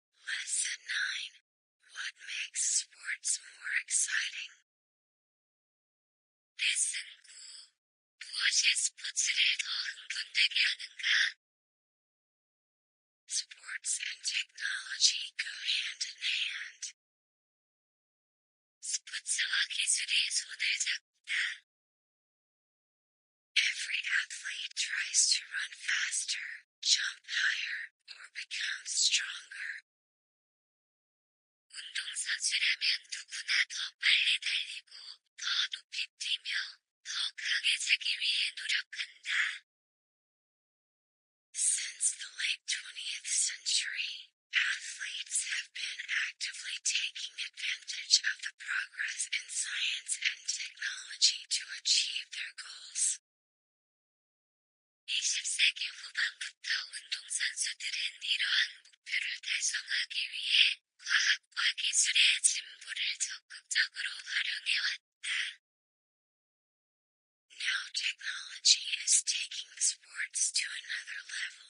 Lesson 9 What makes sports more exciting? 레슨 9 무엇이 스포츠를 더 흥분되게 하는가? Sports and technology go hand in hand. 스포츠와 기술이 손을 잡다. Every athlete tries to run faster jump higher, or become stronger. 운동선수라면 누구나 더 빨리 달리고, 더 높이 뛰며, 더 강해지기 위해 노력한다. Since the late 20th century, athletes have been actively taking advantage of the progress in science and technology to achieve their goals. 20세기 후반부터 운동선수들은 이러한 목표를 달성하기 위해 과학과 기술의 진보를 적극적으로 활용해왔다. Now technology is taking sports to another level.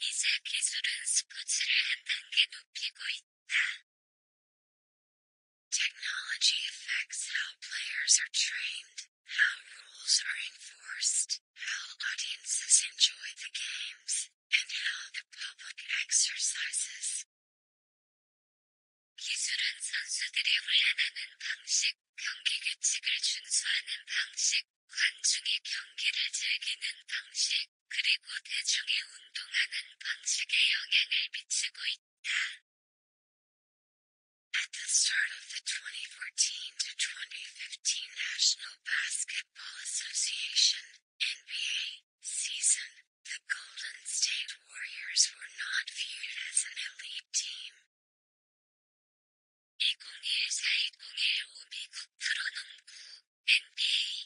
이제 기술은 스포츠를 한 단계 높이고 있다. Technology affects how players are trained, how rules are enforced, how audiences enjoy the games, and how the public exercises. 기술은 선수들이 훈련하는 방식, 경기 규칙을 준수하는 방식, 관중이 경기를 즐기는 방식, 그리고 대중이 운동하는 방식에 영향을 미치고 있다 at the start of the 2014 to 2015 National Basketball Association (NBA) season, the Golden State Warriors were not viewed as an elite team.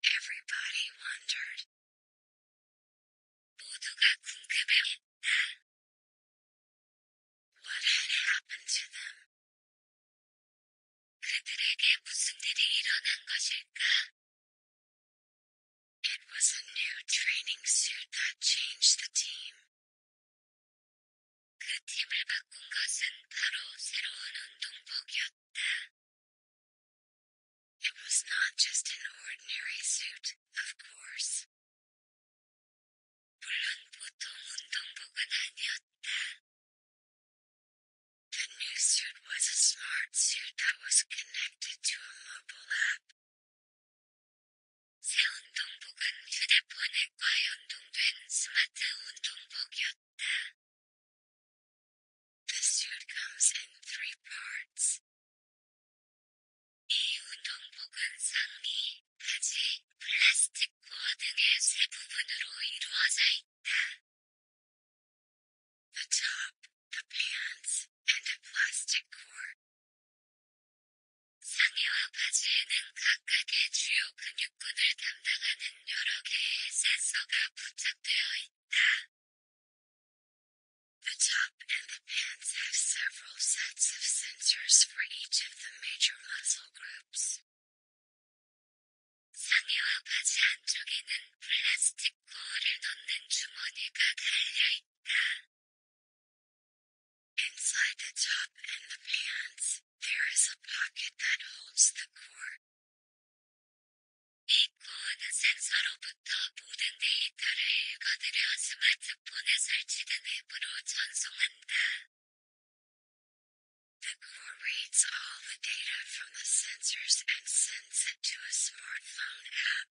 Everybody wondered. What had happened to them? It was a new training suit that changed the team. It was not just an ordinary suit, of course. The new suit was a smart suit that was connected to a mobile app. 새 운동복은 휴대폰과 연동된 스마트 운동복이었다. The suit comes in three parts. The top, the pants, and a plastic core. 상의와 바지에는 각각의 주요 근육 the top and the pants have several sets of sensors for each of the major muscle groups. 상의와 바지 안쪽에는 플라스틱 코어를 넣는 주머니가 달려 있다. Inside the top and the pants, there is a pocket that holds the core. 이건 센서로 부터 모든 데이터를 읽어들여 스마트폰에 설치된 앱으로 전송한다. The core reads all the data from the sensors and sends it to a smartphone app.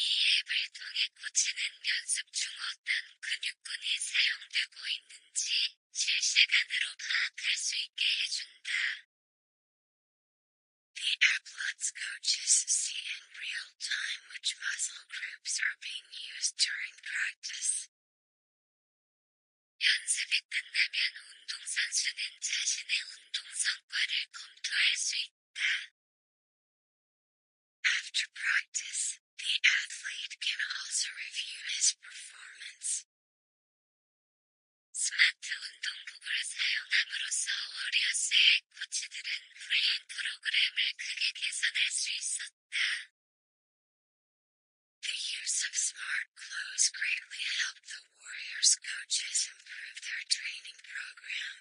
이 앱을 통해 꽂히는 연습 중 어떤 근육근이 사용되고 있는지 the app lets coaches see in real time which muscle groups are being used during practice. 연습이 끝나면 운동선수는 자신의 운동 성과를 검토할 수 있다. After practice, the athlete can also review his performance. The use of smart clothes greatly helped the Warriors coaches improve their training program.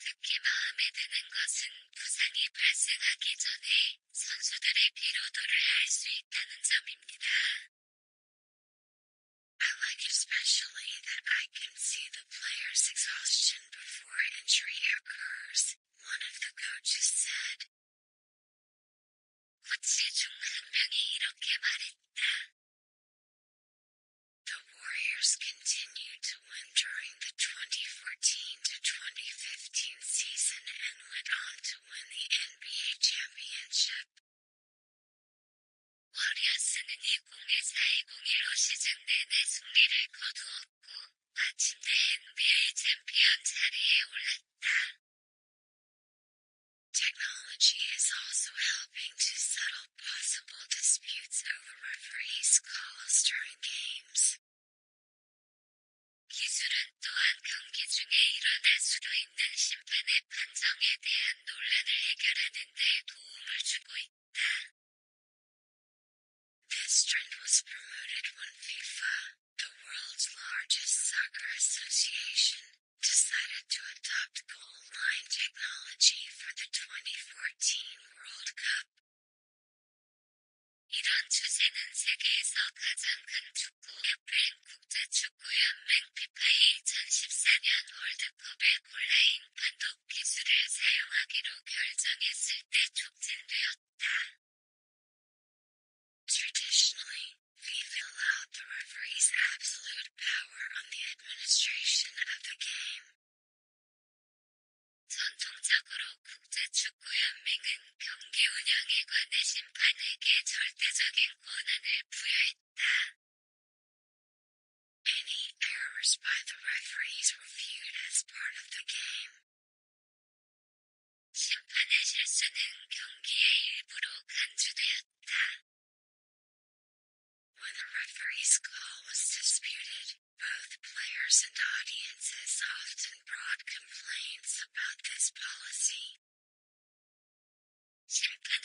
특히 마음에 드는 것은 부상이 발생하기 전에 I like especially that I can see the player's exhaustion before injury occurs, one of the coaches said. The Warriors continued to win during the 2014 to 2015 season and went on to win the NBA championship. 워리어스는 2004-2015로 시즌 내내 승리를 거두었고, 마침내 NBA 챔피언 자리에 올랐다. Technology is also helping to settle possible disputes over referees' calls during games. This trend was promoted when FIFA, the world's largest soccer association, decided to adopt goal line technology for the 2014 World Cup. 이런 추세는 Traditionally, FIFA allowed the referee's absolute power on the administration of the game. 전통적으로 국제축구연맹은 경기 운영에 관해 심판에게 절대적인 권한을 부여했다. Any errors by the referees were viewed as part of the game. When the referee's call was disputed, both players and audiences often broad complaints about this policy. When the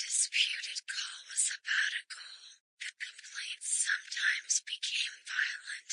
disputed call was about a goal, the complaints sometimes became violent.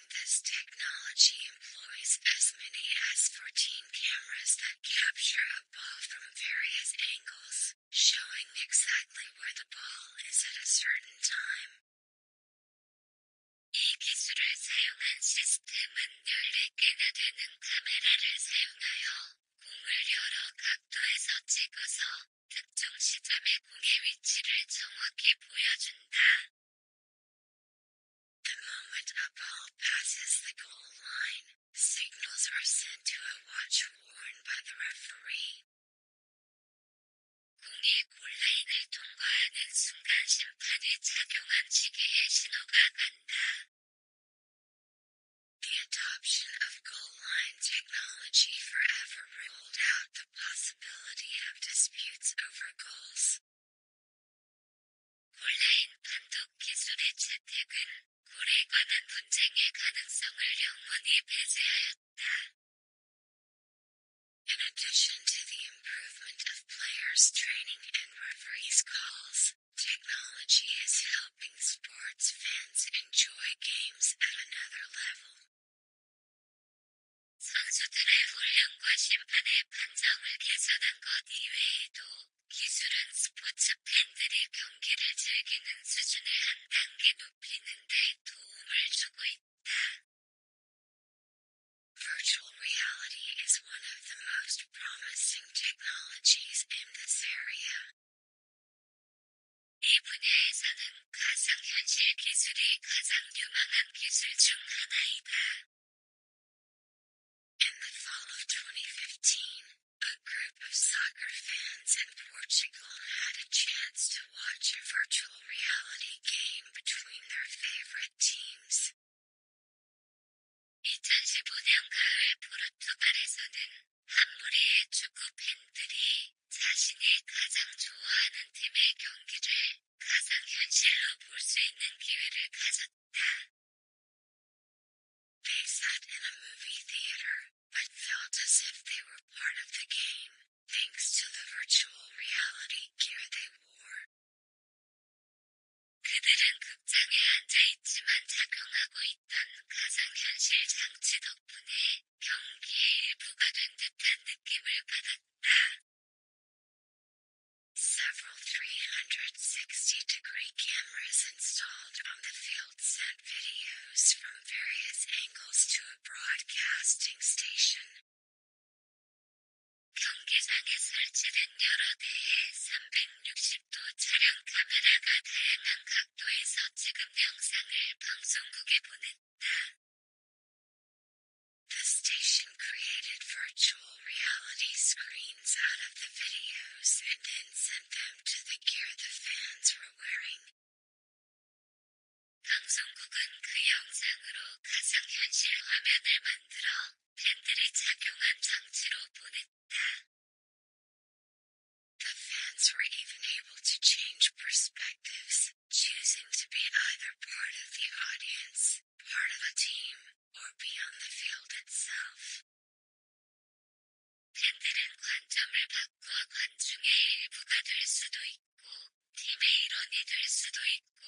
this technology employs as many as 14 cameras that capture a ball from various angles, showing exactly where the ball is at a certain time. 이 기술을 14개나 되는 카메라를 사용하여 공을 여러 각도에서 찍어서 특정 시점의 공의 위치를 정확히 보여준다. The moment a ball passes the goal line, signals are sent to a watch worn by the referee. The adoption of goal line technology forever ruled out the possibility of disputes over goals. In addition to the improvement of players' training and referees' calls, technology is helping sports fans enjoy games at another level. 선수들의 훈련과 심판의 판정을 개선한 것 이외에도 기술은 스포츠 팬들이 경기를 즐기는 수준을 한 단계 높이는 데 도움을 주고 있다. Virtual reality is one of the most promising technologies in this area. 이 분야에서는 가상현실 기술이 가장 유망한 기술 중 하나이다. In the fall of 2015, a group of soccer fans in Portugal had a chance to watch a virtual reality game between their favorite teams. 자신이 가장 좋아하는 팀의 경기를 가상 현실로 볼수 있는 기회를 they sat in a movie theater, but felt as if they were part of the game, thanks to the virtual reality gear they wore. 그들은 극장에 앉아있지만 작용하고 있던 가상현실 장치 덕분에 경기의 일부가 된 듯한 느낌을 받았다. Several 360-degree cameras installed on the field sent videos from various angles to a broadcasting station. 경계상에 설치된 여러 360도 차량 카메라가 다양한 각도에서 찍은 영상을 방송국에 보냈다. The station created virtual reality screens out of the videos and then sent them to the gear the fans were wearing. The fans were even able to change perspectives, choosing to be either part of the audience part of a team, or be on the field itself. 팬들은 관점을 바꿔 관중의 일부가 될 수도 있고, 팀의 일원이 될 수도 있고,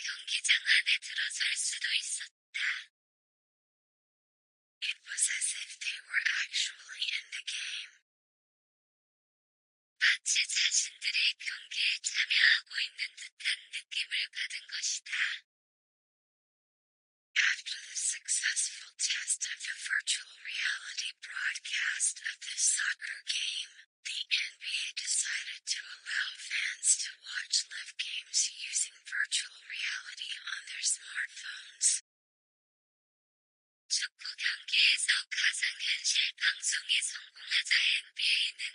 경기장 안에 들어설 수도 있었다. It was as if they were actually in the game. 마치 자신들의 경기에 참여하고 있는 듯 after the successful test of the virtual reality broadcast of the soccer game, the NBA decided to allow fans to watch live games using virtual reality on their smartphones. 축구 경기에서 가상현실 방송에 성공하자 NBA는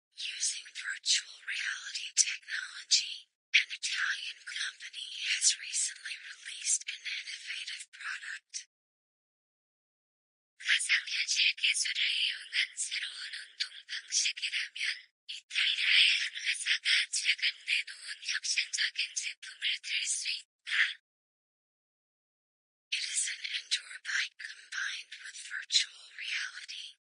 Using virtual reality technology, an Italian company has recently released an innovative product. 가상 현실 기술을 이용한 새로운 운동 방식이라면 이탈리아의 한 회사가 It is an indoor bike combined with virtual reality.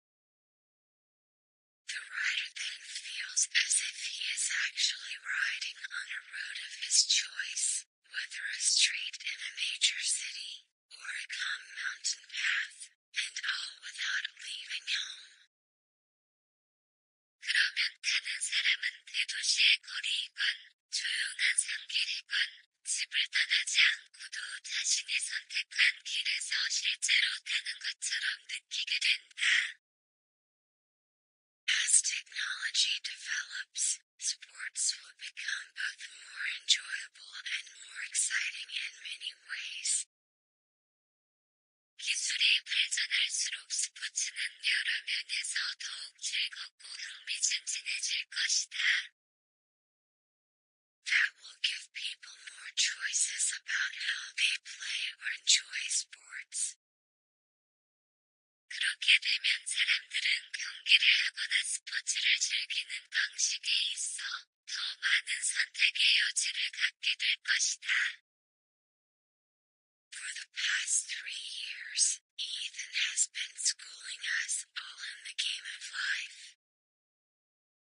The rider then feels as if he is actually riding on a road of his choice, whether a street in a major city or a calm mountain path, and all without leaving home. 그러면 타는 사람은 대도시의 거리이건, 조용한 산길이건, 집을 떠나지 않고도 자신이 선택한 길에서 실제로 타는 것처럼 느끼게 된다. As technology develops, sports will become both more enjoyable and more exciting in many ways. 기술이 발전할수록 스포츠는 여러 면에서 더욱 즐겁고 흥미진진해질 것이다. That will give people more choices about how they play or enjoy sports. 그렇게 되면 사람들은 경기를 하거나 스포츠를 즐기는 방식에 있어 더 많은 선택의 여지를 갖게 될 것이다. For the past three years, Ethan has been schooling us all in the game of life.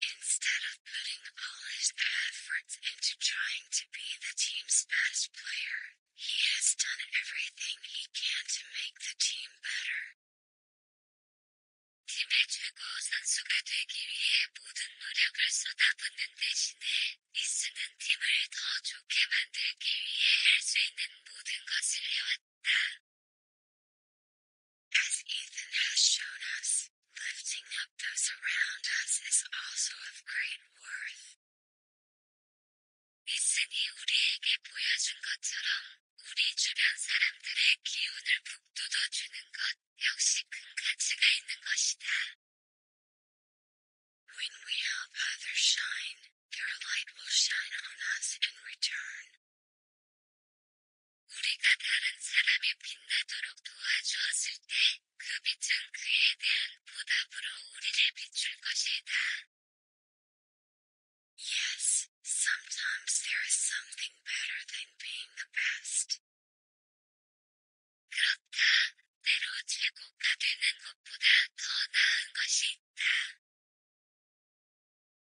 Instead of putting all his efforts into trying to be the team's best player, he has done everything he can to make the team better. 팀의 팀을 더 좋게 만들기 위해 할수 있는 모든 것을 해왔다 that. As Ethan has shown us, lifting up those around us is also of great worth. When we help others shine, their light will shine on us in return. 우리가 다른 사람이 빛나도록 도와주었을 때 그 빛은 그에 대한 보답으로 우리를 비출 것이다. Yes, sometimes there is something better than being the best. 그렇다. 때로 최고가 되는 것보다 더 나은 것이 있다.